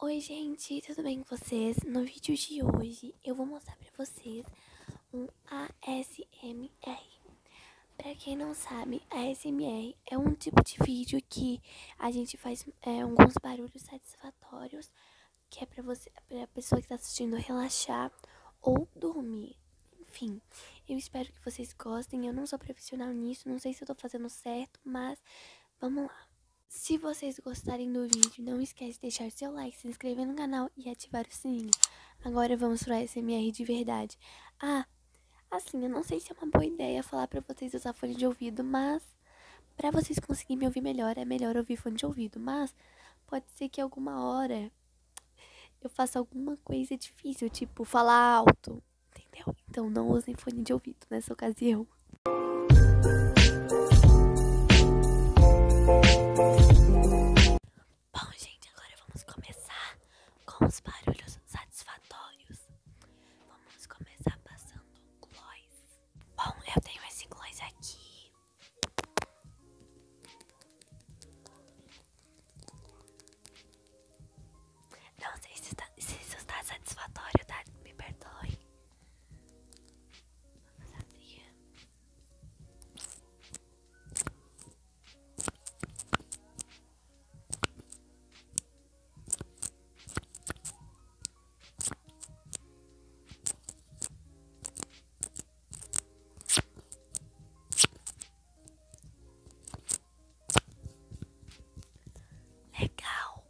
Oi gente, tudo bem com vocês? No vídeo de hoje eu vou mostrar pra vocês um ASMR. Pra quem não sabe, ASMR é um tipo de vídeo que a gente faz é, alguns barulhos satisfatórios, que é pra, você, pra pessoa que tá assistindo relaxar ou dormir. Enfim, eu espero que vocês gostem, eu não sou profissional nisso, não sei se eu tô fazendo certo, mas vamos lá. Se vocês gostarem do vídeo, não esquece de deixar seu like, se inscrever no canal e ativar o sininho. Agora vamos pro SMR de verdade. Ah, assim, eu não sei se é uma boa ideia falar pra vocês usar fone de ouvido, mas... Pra vocês conseguirem me ouvir melhor, é melhor ouvir fone de ouvido, mas... Pode ser que alguma hora eu faça alguma coisa difícil, tipo falar alto. Entendeu? Então não usem fone de ouvido nessa ocasião. Bom, gente, agora vamos começar com os barulhos satisfatórios. Vamos começar passando o gloss. Bom, eu tenho esse gloss aqui. Não sei se, está, se está satisfatório, tá? Me perdoe. Vamos abrir. Legal.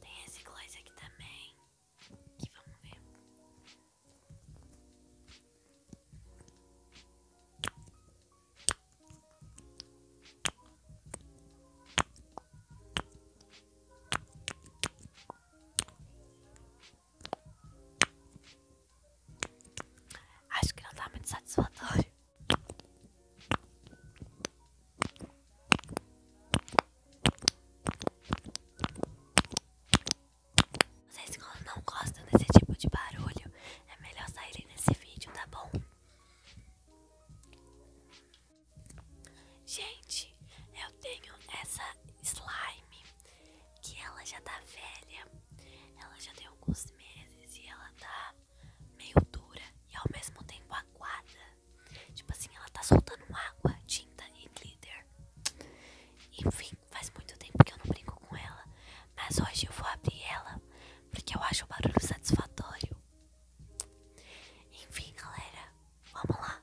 Tem esse gloss aqui também. Que vamos ver. Acho que não tá muito satisfatório. Vocês que não gostam desse tipo de barulho, é melhor saírem nesse vídeo, tá bom? Gente, eu tenho essa slime que ela já tá velha, ela já tem alguns meses e ela tá meio dura e ao mesmo tempo aguada. Tipo assim, ela tá soltando água, tinta e glitter. Enfim, faz muito tempo que eu não brinco com ela, mas hoje eu vou abrir ela porque eu acho o barulho satisfatório. Enfim, galera, vamos lá.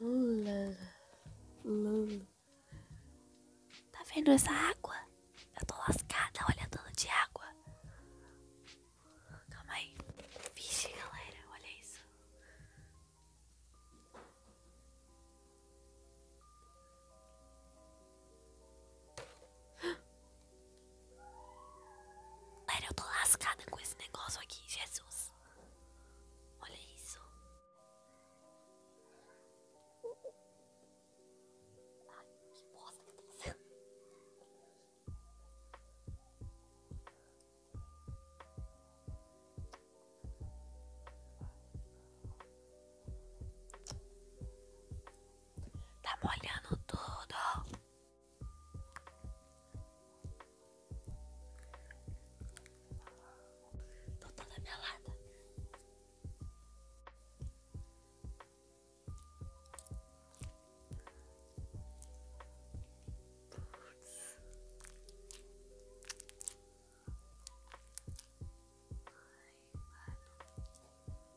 Hum, hum. Tá vendo essa água? Eu tô lascada, olha tanto de água. Calma aí. Vixe, galera, olha isso. Galera, eu tô lascada com esse negócio aqui, Jesus. Olha isso. Ai, que bosta que tá sendo. Tá molhando tudo. Tô toda melada. Putz. Ai, mano.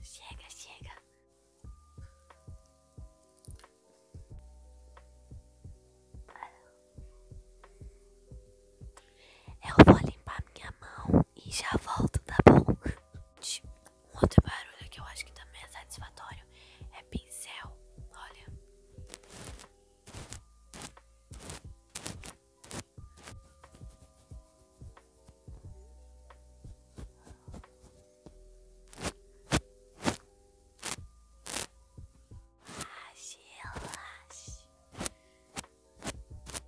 Chega, chega. Eu vou limpar minha mão e já volto, Da tá bom? Um outro barulho que eu acho que também é satisfatório é pincel. Olha. Relaxe, relaxe.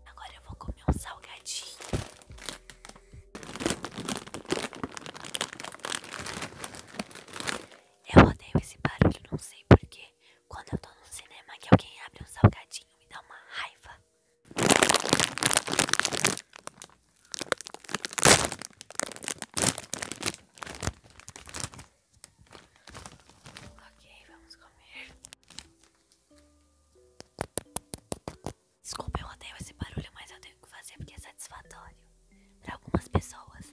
Agora eu vou comer um salgadinho. Eu odeio esse barulho, não sei porquê quando eu tô no cinema que alguém abre um salgadinho, me dá uma raiva. Ok, vamos comer. Desculpa, eu odeio esse barulho, mas eu tenho que fazer porque é satisfatório para algumas pessoas.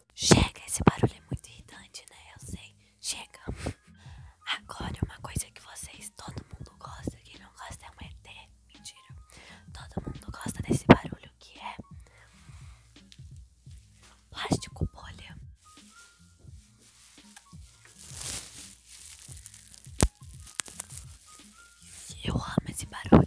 Chega, esse barulho é muito irritante, né? Eu sei. Chega. Agora, uma coisa que vocês, todo mundo gosta, quem não gosta é um ET. Mentira. Todo mundo gosta desse barulho que é plástico bolha. Eu amo esse barulho.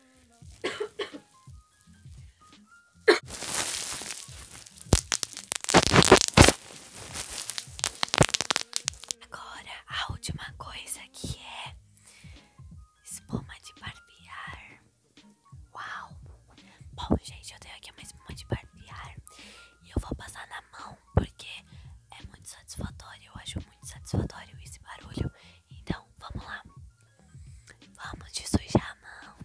Agora a última coisa que é espuma de barbear. Uau! Bom, gente, eu tenho aqui uma espuma de barbear e eu vou passar na mão porque é muito satisfatório. Eu acho muito satisfatório esse barulho. Então, vamos lá. Vamos te sujar a mão.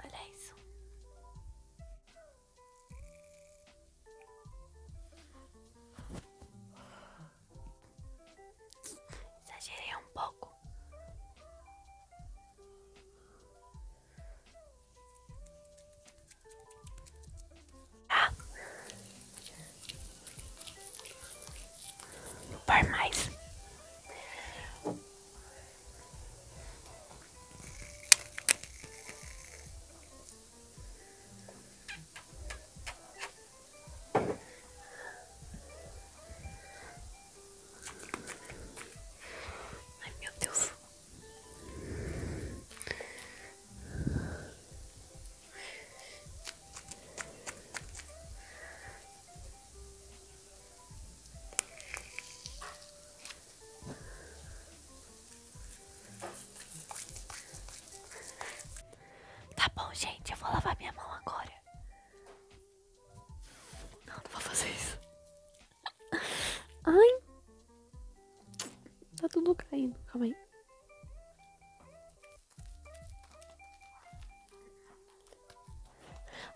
Olha isso. Exagerei um pouco. Ah. Não par mais. Ai, meu Deus. Tá bom, gente, eu vou lavar minha mão agora. Não, não vou fazer isso. Ai. Tá tudo caindo, calma aí.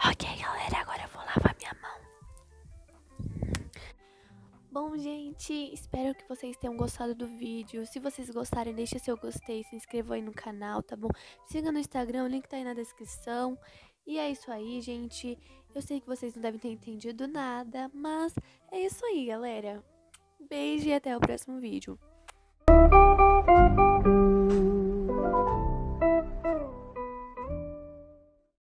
Ok, galera, agora eu vou lavar minha mão. Bom, gente, espero que vocês tenham gostado do vídeo. Se vocês gostarem, deixa seu gostei, se inscreva aí no canal, tá bom? Siga no Instagram, o link tá aí na descrição. E é isso aí, gente. Eu sei que vocês não devem ter entendido nada, mas é isso aí, galera. Beijo e até o próximo vídeo.